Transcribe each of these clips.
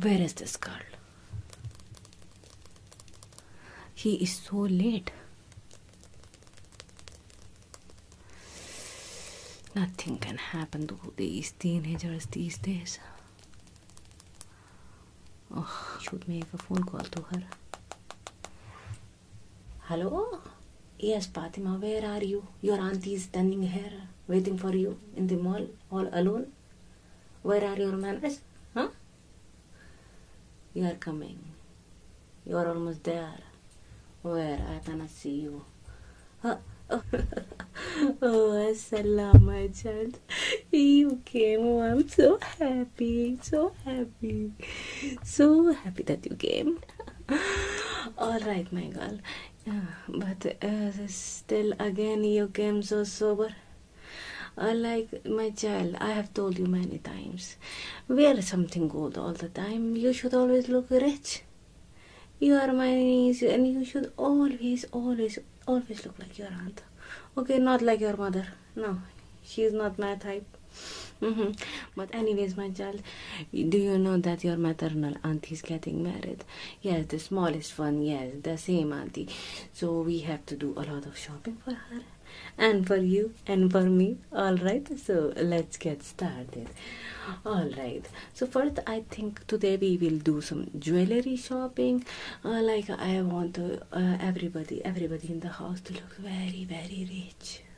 Where is this girl? He is so late. Nothing can happen to these teenagers these days. Oh, should make a phone call to her. Hello? Yes, Patima. where are you? Your auntie is standing here, waiting for you in the mall, all alone. Where are your manners? Huh? You are coming. You are almost there. Where? I cannot see you. Oh, oh salam, my child. You came. Oh, I'm so happy. So happy. So happy that you came. all right my girl but uh, still again you came so sober uh, like my child i have told you many times wear something good all the time you should always look rich you are my niece and you should always always always look like your aunt okay not like your mother no she is not my type Mm-hmm. But anyways, my child, do you know that your maternal auntie is getting married? Yes, the smallest one. Yes, the same auntie. So we have to do a lot of shopping for her, and for you, and for me. All right. So let's get started. All right. So first, I think today we will do some jewelry shopping. Uh, like I want uh, everybody, everybody in the house to look very, very rich.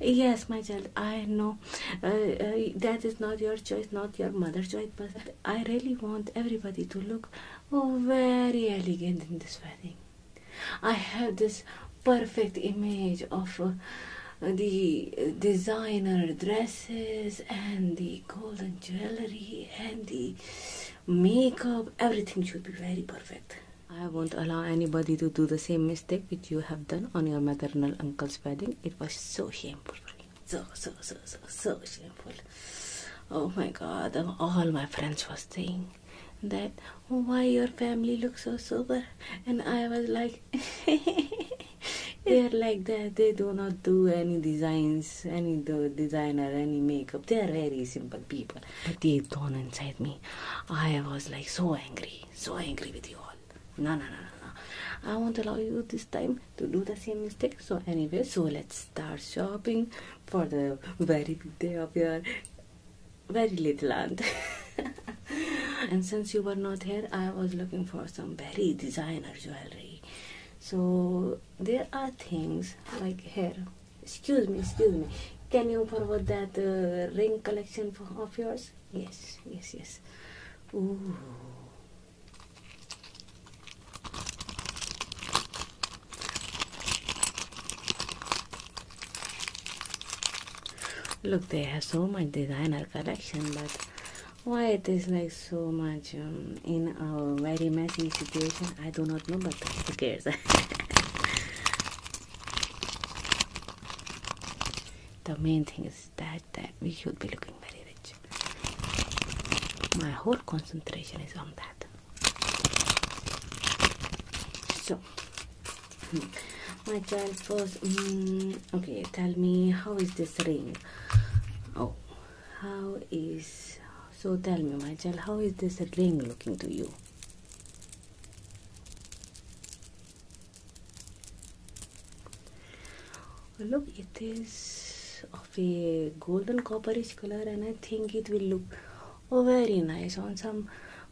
yes my child i know uh, uh, that is not your choice not your mother's choice but i really want everybody to look oh, very elegant in this wedding i have this perfect image of uh, the designer dresses and the golden jewelry and the makeup everything should be very perfect I won't allow anybody to do the same mistake which you have done on your maternal uncle's wedding. It was so shameful. So, so, so, so, so shameful. Oh my god, all my friends was saying that oh, why your family looks so sober and I was like they're like that they do not do any designs any designer any makeup they're very simple people but deep down inside me, I was like so angry, so angry with you all. No, no, no, no, no. I won't allow you this time to do the same mistake. So anyway, so let's start shopping for the very big day of your very little aunt. and since you were not here, I was looking for some very designer jewelry. So there are things like hair excuse me, excuse me. Can you forward that uh, ring collection of yours? Yes, yes, yes. Ooh. Look, they have so much designer collection, but why it is like so much um, in a very messy situation? I do not know, but who cares? The main thing is that that we should be looking very rich. My whole concentration is on that. So, hmm, my child first. Mm, okay, tell me how is this ring? Oh, how is so? Tell me, my child, how is this ring looking to you? Look, it is of a golden copperish color, and I think it will look oh, very nice on some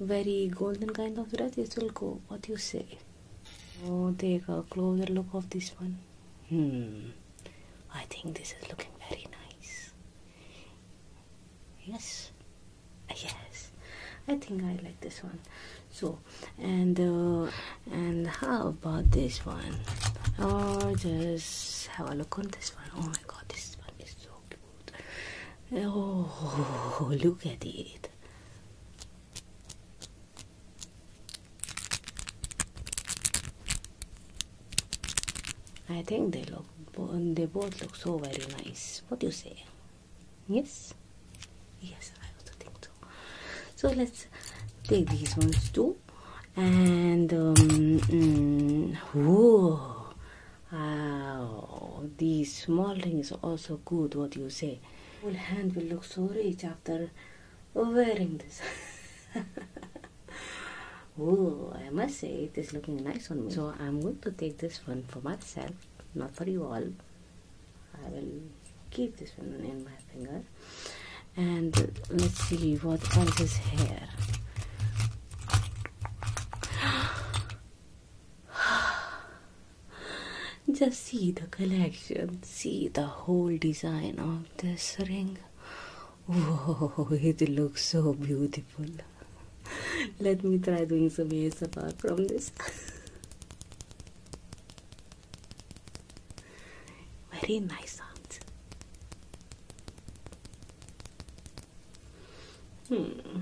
very golden kind of dress. It will go. What do you say? Oh, take a closer look of this one. Hmm. I think this is looking very nice yes yes i think i like this one so and uh, and how about this one or oh, just have a look on this one oh my god this one is so cute oh look at it I think they look they both look so very nice what do you say yes yes i also think so so let's take these ones too and um, mm, whoa, wow these small things are also good what you say whole hand will look so rich after wearing this oh i must say it is looking nice on me so i'm going to take this one for myself not for you all i will keep this one in my finger and let's see what else is here just see the collection see the whole design of this ring Whoa, it looks so beautiful. let me try doing some apart from this very nice sounds hmm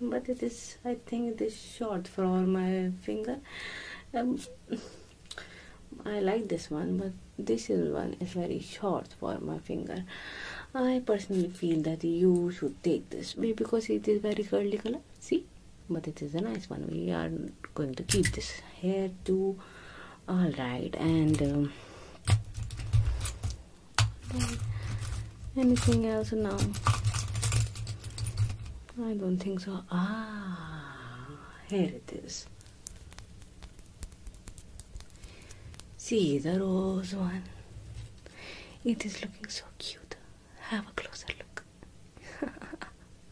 but it is I think this short for all my finger um, I like this one but this one is very short for my finger i personally feel that you should take this maybe because it is very curly color see but it is a nice one we are going to keep this here too all right and um, anything else now i don't think so ah here it is See the rose one. It is looking so cute. Have a closer look.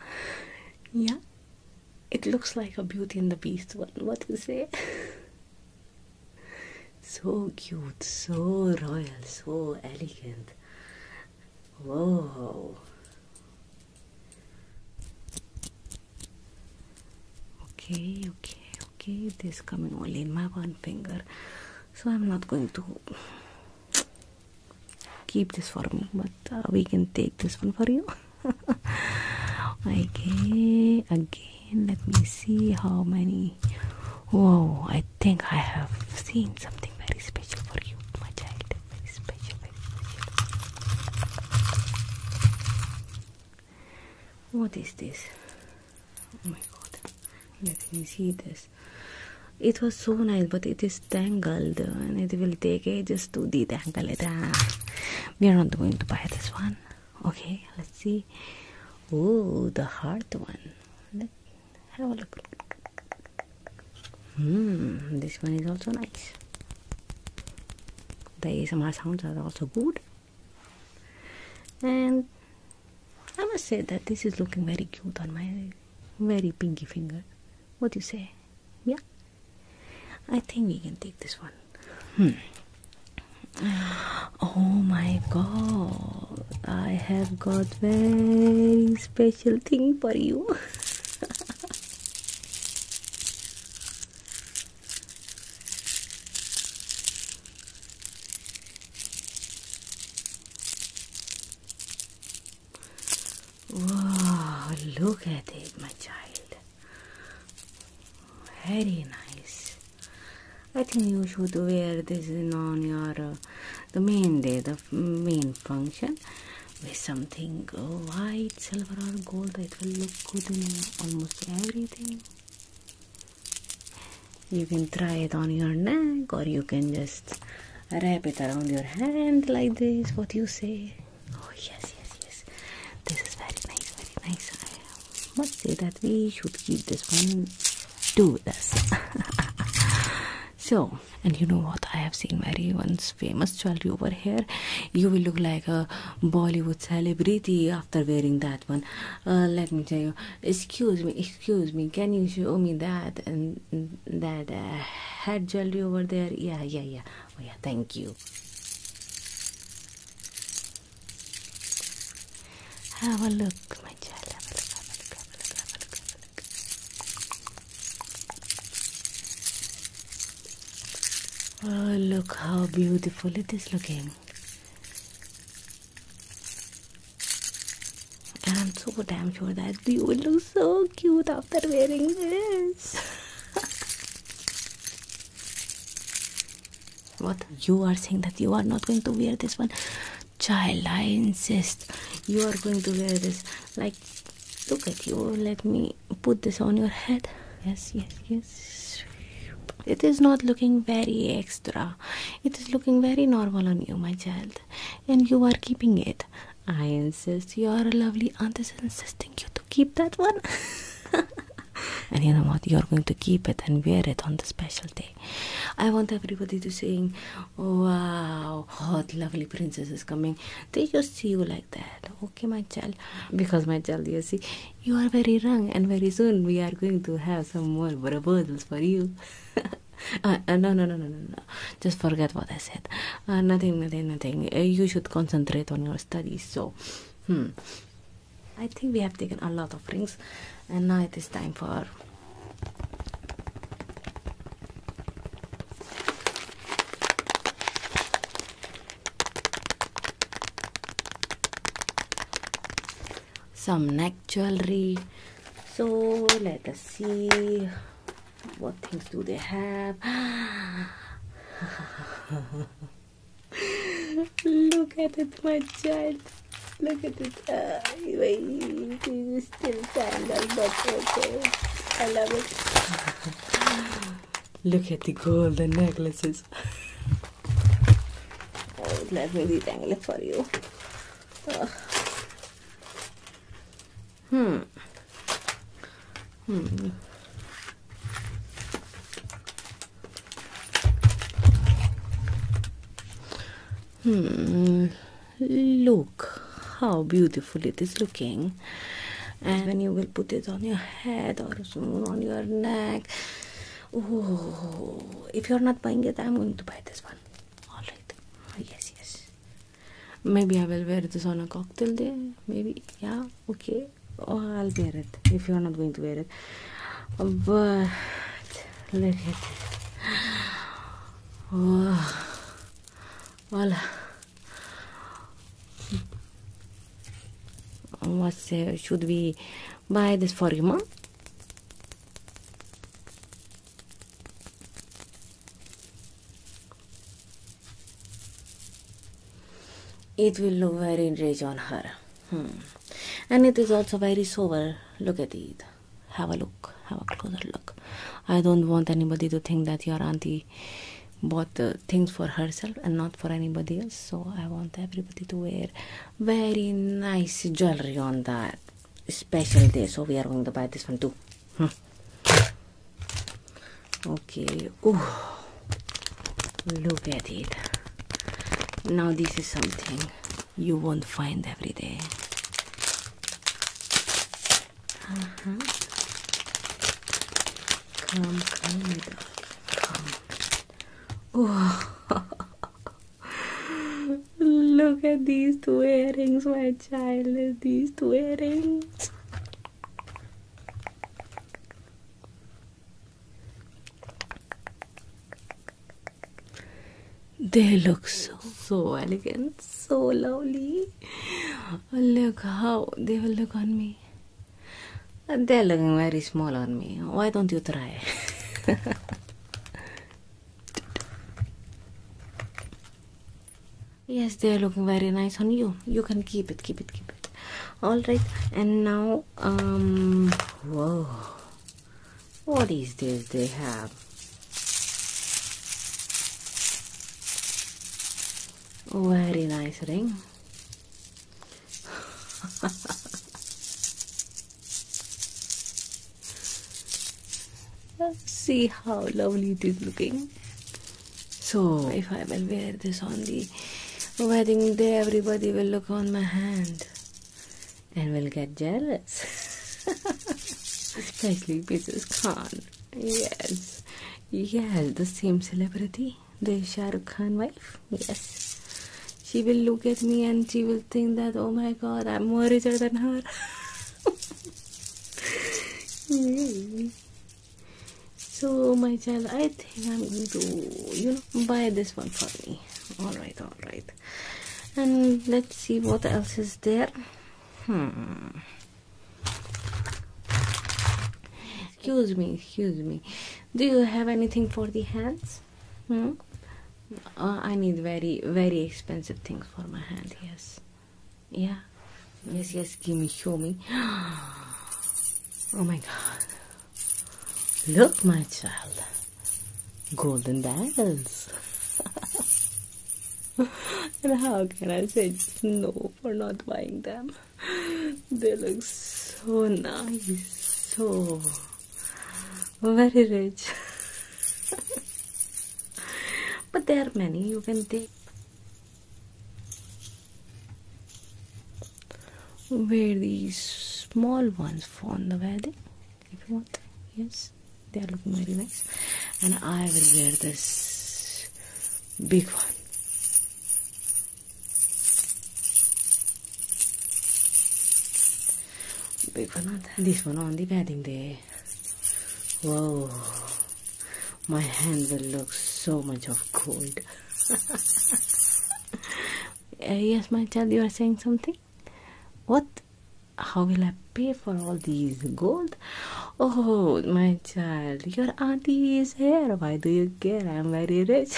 yeah, it looks like a Beauty and the Beast one. What do you say? so cute, so royal, so elegant. Whoa okay okay okay this coming only in my one finger so i'm not going to keep this for me but uh, we can take this one for you okay again let me see how many whoa i think i have seen something very special for you my child very special very special what is this? Oh my god. Let me see this. It was so nice, but it is tangled and it will take ages to detangle it. Ah, we are not going to buy this one. Okay, let's see. Oh, the hard one. Let's have a look. Hmm, this one is also nice. The ASMR sounds are also good and I must say that this is looking very cute on my very pinky finger. What do you say? Yeah? I think we can take this one. Hmm. Oh my god, I have got very special thing for you. Wow, look at it, my child. Very nice. I think you should wear this on your uh, the main day, the main function, with something white, silver, or gold. It will look good in almost everything. You can try it on your neck or you can just wrap it around your hand like this. What you say? Oh, yes, yes, yes. This is very nice, very nice. I must say that we should keep this one too with so and you know what i have seen very once famous jewelry over here you will look like a bollywood celebrity after wearing that one uh, let me tell you excuse me excuse me can you show me that and that uh, head jewelry over there yeah yeah yeah oh yeah thank you have a look my child oh, look how beautiful it is looking. I'm so damn sure that you will look so cute after wearing this. what you are saying that you are not going to wear this one, child? I insist you are going to wear this. Like, look at you. Let me put this on your head. Yes, yes, yes it is not looking very extra it is looking very normal on you my child and you are keeping it i insist your lovely aunt is insisting you to keep that one and you know what you're going to keep it and wear it on the special day i want everybody to sing wow What lovely princess is coming they just see you like that okay my child because my child you see you are very young, and very soon we are going to have some more proposals for you. Uh, uh, no, no, no, no, no, no. Just forget what I said. Uh, nothing, nothing, nothing. you should concentrate on your studies. So, hmm. I think we have taken a lot of rings, and now it is time for some neck jewelry so let us see what things do they have look at it my child look at it uh, wait, it's still sandal but okay i love it look at the golden necklaces Oh, let me detangle it for you. hmm. Hmm. Hmm. Look how beautiful it is looking. And then you will put it on your head or zoom on your neck. Oh, if you're not buying it, I'm going to buy this one. Alright, oh, yes, yes. Maybe I will wear this on a cocktail day. Maybe, yeah, okay. Or oh, I'll wear it if you're not going to wear it. But look at oh, voila. was should we buy this for him? It will look very rich on her. Hmm. And it is also very sober. Look at it. Have a look. Have a closer look. I don't want anybody to think that your auntie bought things for herself and not for anybody else so i want everybody to wear very nice jewelry on that special day so we are going to buy this one too hmm. okay look at it now this is something you won't find every day uh-huh. Come, come, my darling, come. Oh. Look at these two earrings, my child. These two earrings. They look so so elegant, so lovely. Look how they will look on me. They're looking very small on me. Why don't you try? yes, they're looking very nice on you. You can keep it, keep it, keep it. Alright, and now, um, whoa. What is this they have? Very nice ring. Let's see how lovely it is looking. So, if I will wear this on the wedding day, everybody will look on my hand and will get jealous. Especially Peter's Khan. Yes, yes, the same celebrity the Shah Khan wife. Yes. She will look at me and she will think that, oh my god, I'm more richer than her. so, my child, I think I'm going to, you know, buy this one for me. Alright, alright. And let's see what else is there. Hmm excuse me excuse me do you have anything for the hands hmm? Uh, i need very very expensive things for my hand yes yeah yes yes give me show me oh my god look my child golden diamonds. and how can i say no for not buying them. they look so nice, so very rich. but there are many you can take. Wear these small ones for the wedding if you want. Yes, they are looking very nice. And I will wear this big one. Big one This one on the wedding day. Whoa. My hand will look so much of gold. Uh, yes, my child, you are saying something? What? How will I pay for all these gold? Oh, my child, your auntie is here. Why do you care? I'm very rich.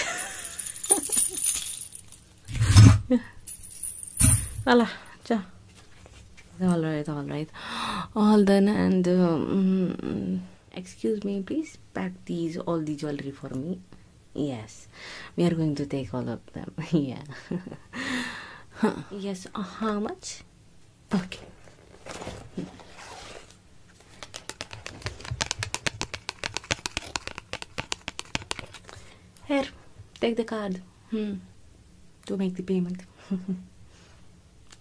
Allah, ja. All right, all right, all done. And excuse me, please pack these all the jewelry for me. Yes, we are going to take all of them. yeah. Huh. Yes. Uh, how much? Okay. Here, take the card hmm. to make the payment.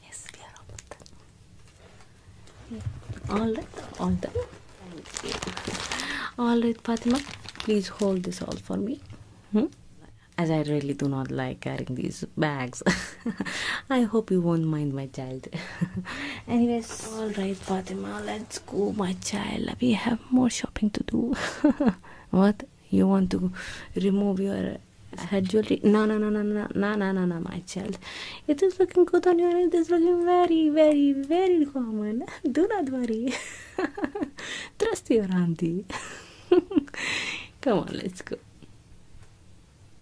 yes, we All right, all done. All right, Fatima, please hold this all for me. Hmm? As I really do not like carrying these bags, I hope you won't mind my child. Anyways, alright Fatima, let's go my child. We have more shopping to do. what? You want to remove your head jewelry? No, no, no, no, no, no, no, no, no, my child. It is looking good on you and it is looking very, very, very common. Do not worry. Trust your auntie. Come on, let's go.